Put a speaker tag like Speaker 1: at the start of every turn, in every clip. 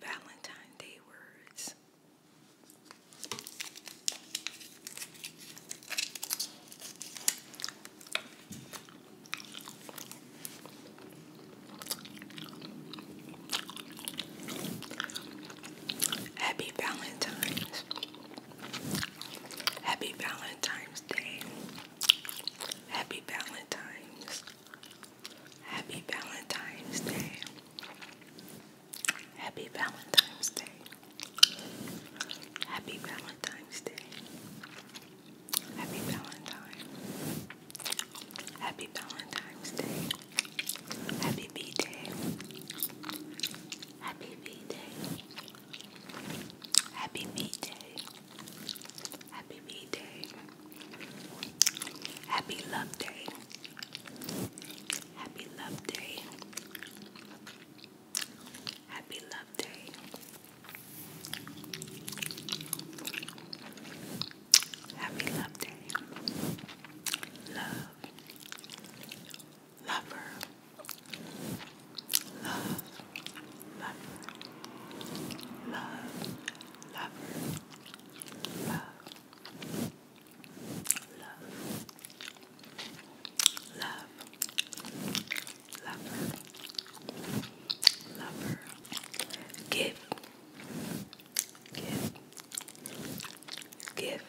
Speaker 1: Valentine Day words. Happy Valentine's. Happy Valentine's Day. Happy Valentine's. Happy Valentine's Day. Happy Valentine's Day. Happy Valentine's Day. Happy Valentine. Happy Valentine's Day. Happy B Day. Happy B Day. Happy Meat Day. Happy Meat Day. Happy Love Day. Happy Love Day. Happy Love Day. Happy Love Day. Love lover, love, lover, love, lover, love. Love, love, lover, lover, give, give, give,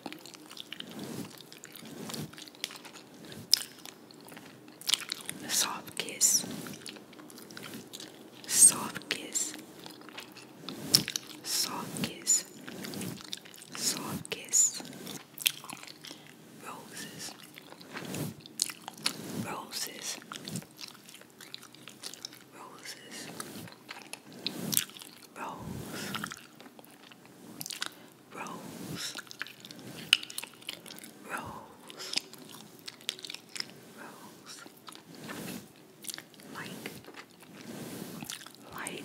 Speaker 1: Soft kiss. Soft kiss. Soft kiss. Soft kiss. Roses. Roses. Roses. Rose. Rose, Rose, Rose, like, like, like,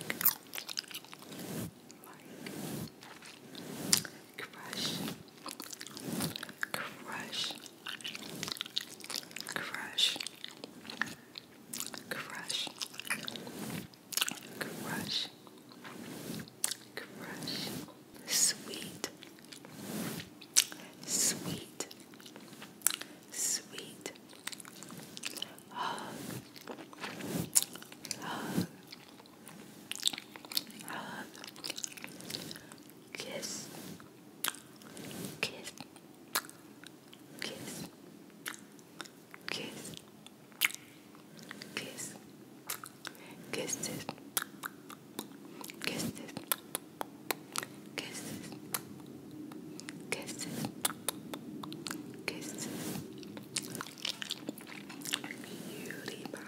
Speaker 1: crush, crush, crush. Crush. Crush. Crush. Sweet. Sweet. Sweet. Hug. Hug. Hug. Kiss. Kiss kiss, kiss, kiss, kiss this, kiss this, kiss this, kiss this, kiss this. Cutie pie,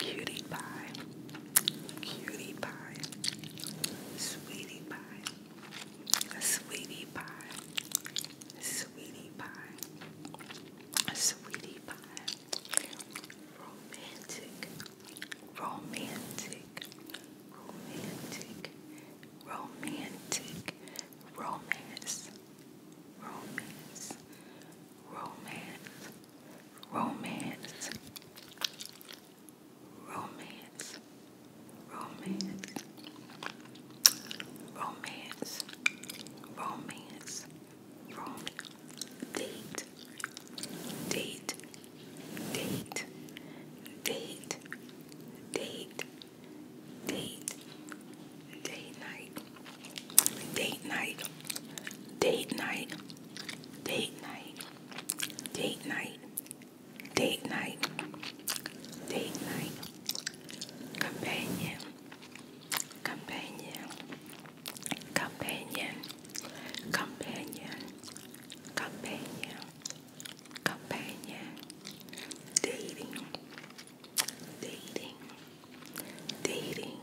Speaker 1: cutie pie, cutie pie, sweetie pie. Sweetie pie. Sweetie pie. Sweetie pie. Romantic. Romantic. Romantic. Romantic. Romance. Romance. Romance. Romance romance, romance, romance, romance, romance, date, date, date, date, date, date, date night, date night, date night, date night, date night date night, date night, companion, companion, companion, companion, companion, companion, dating, dating, dating,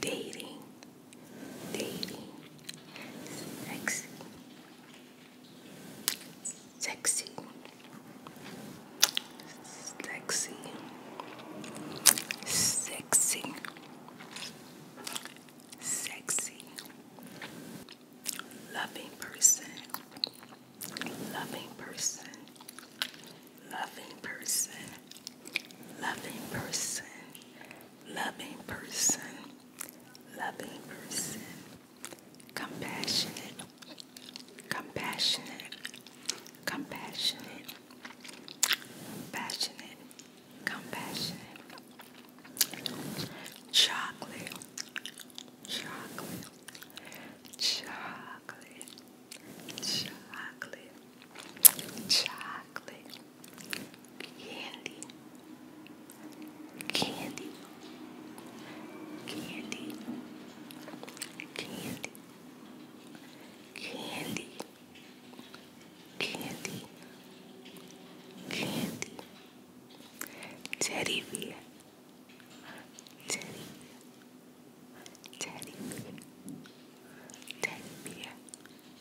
Speaker 1: dating daily, sexy, sexy, sexy, sexy, sexy, loving person, loving person, loving person, loving person. Loving person, loving person, compassionate, compassionate, compassionate, passionate, compassionate, chocolate, chocolate, chocolate, chocolate, chocolate candy, candy, candy, candy, candy, candy, candy, teddy bear, teddy, teddy bear, teddy bear. Teddy bear,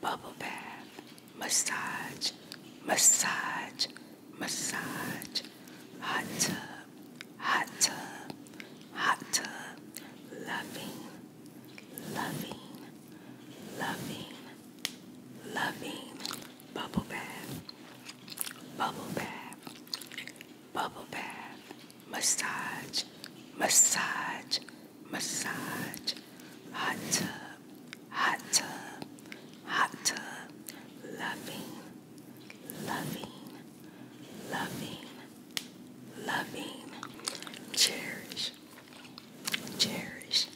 Speaker 1: bubble bath, massage, massage, massage, hot tub, hot tub, hot tub, loving, loving, loving, loving, bubble bath, bubble bath, bubble bath, massage, massage, massage, hot tub, hot tub, hot tub, loving, loving, loving, loving, cherish, cherish,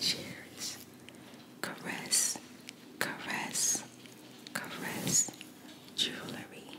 Speaker 1: cherish, caress, caress, caress, jewelry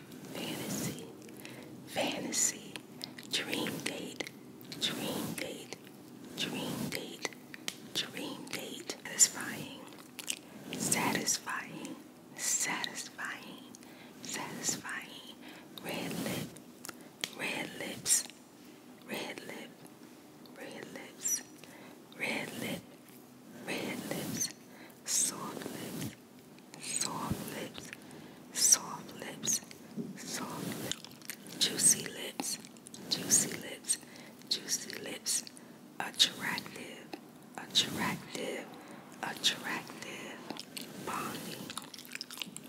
Speaker 1: fantasy, fantasy, dream date, dream date, dream date, dream date, satisfying, satisfying, satisfying, satisfying, red lips, red lips, red lip, red lips, red lip, red lips, soft lips soft lips, soft lips, soft lips, juicy lips, juicy lips, juicy lips, attractive, attractive, attractive, bonding,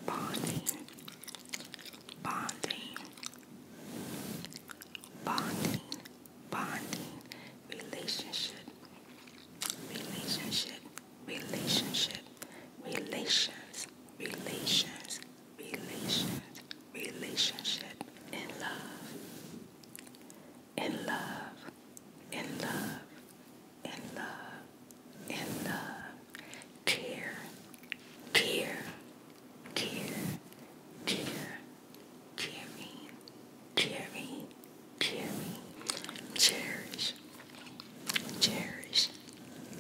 Speaker 1: bonding, bonding, bonding, bonding, relationship relationship, relationship, relations, relations, relations, relationship, in love, in love, in love, in love, in love, Tear, tear, tear, tear. Cherry, cherry, cherry, cherish, cherish,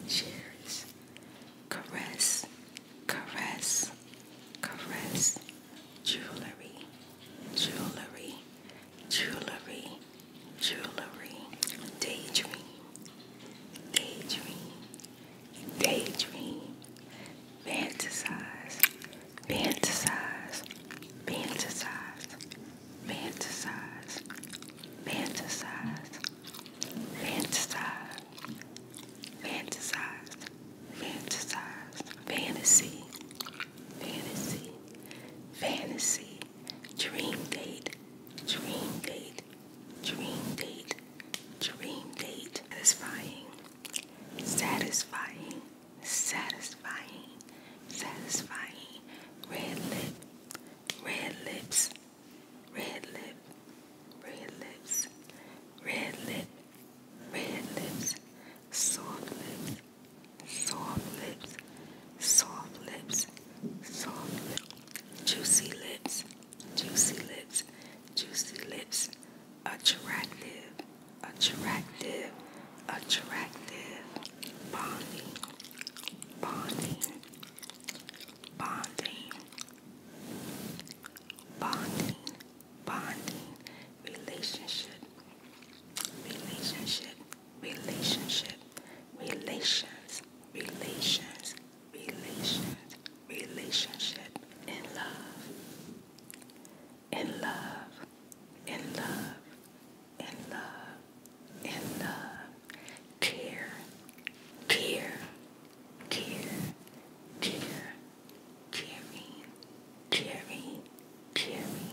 Speaker 1: cherish, caress, caress, caress, jewelry, jewelry, jewelry, jewelry, daydream, daydream, daydream, fantasize fantasize, fantasize, fantasize, fantasize, fantasize, fantasize, fantasize, fantasy, fantasy, fantasy, dream date, dream date, dream date, dream date, satisfying satisfying, satisfying, satisfying. Red lip, red lips, red lip, red lips, red lip, red lips, soft lips, soft lips, soft lips, soft juicy lips, juicy lips, juicy lips, attractive, attractive, attractive, bonding, bonding, bonding, bonding, bonding, relationship, relationship, relationship, relations, relations, relations relationship in love, in love, in love, in love, in love, care, care, care, care, caring, caring, caring.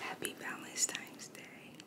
Speaker 1: Happy Valentine's Day.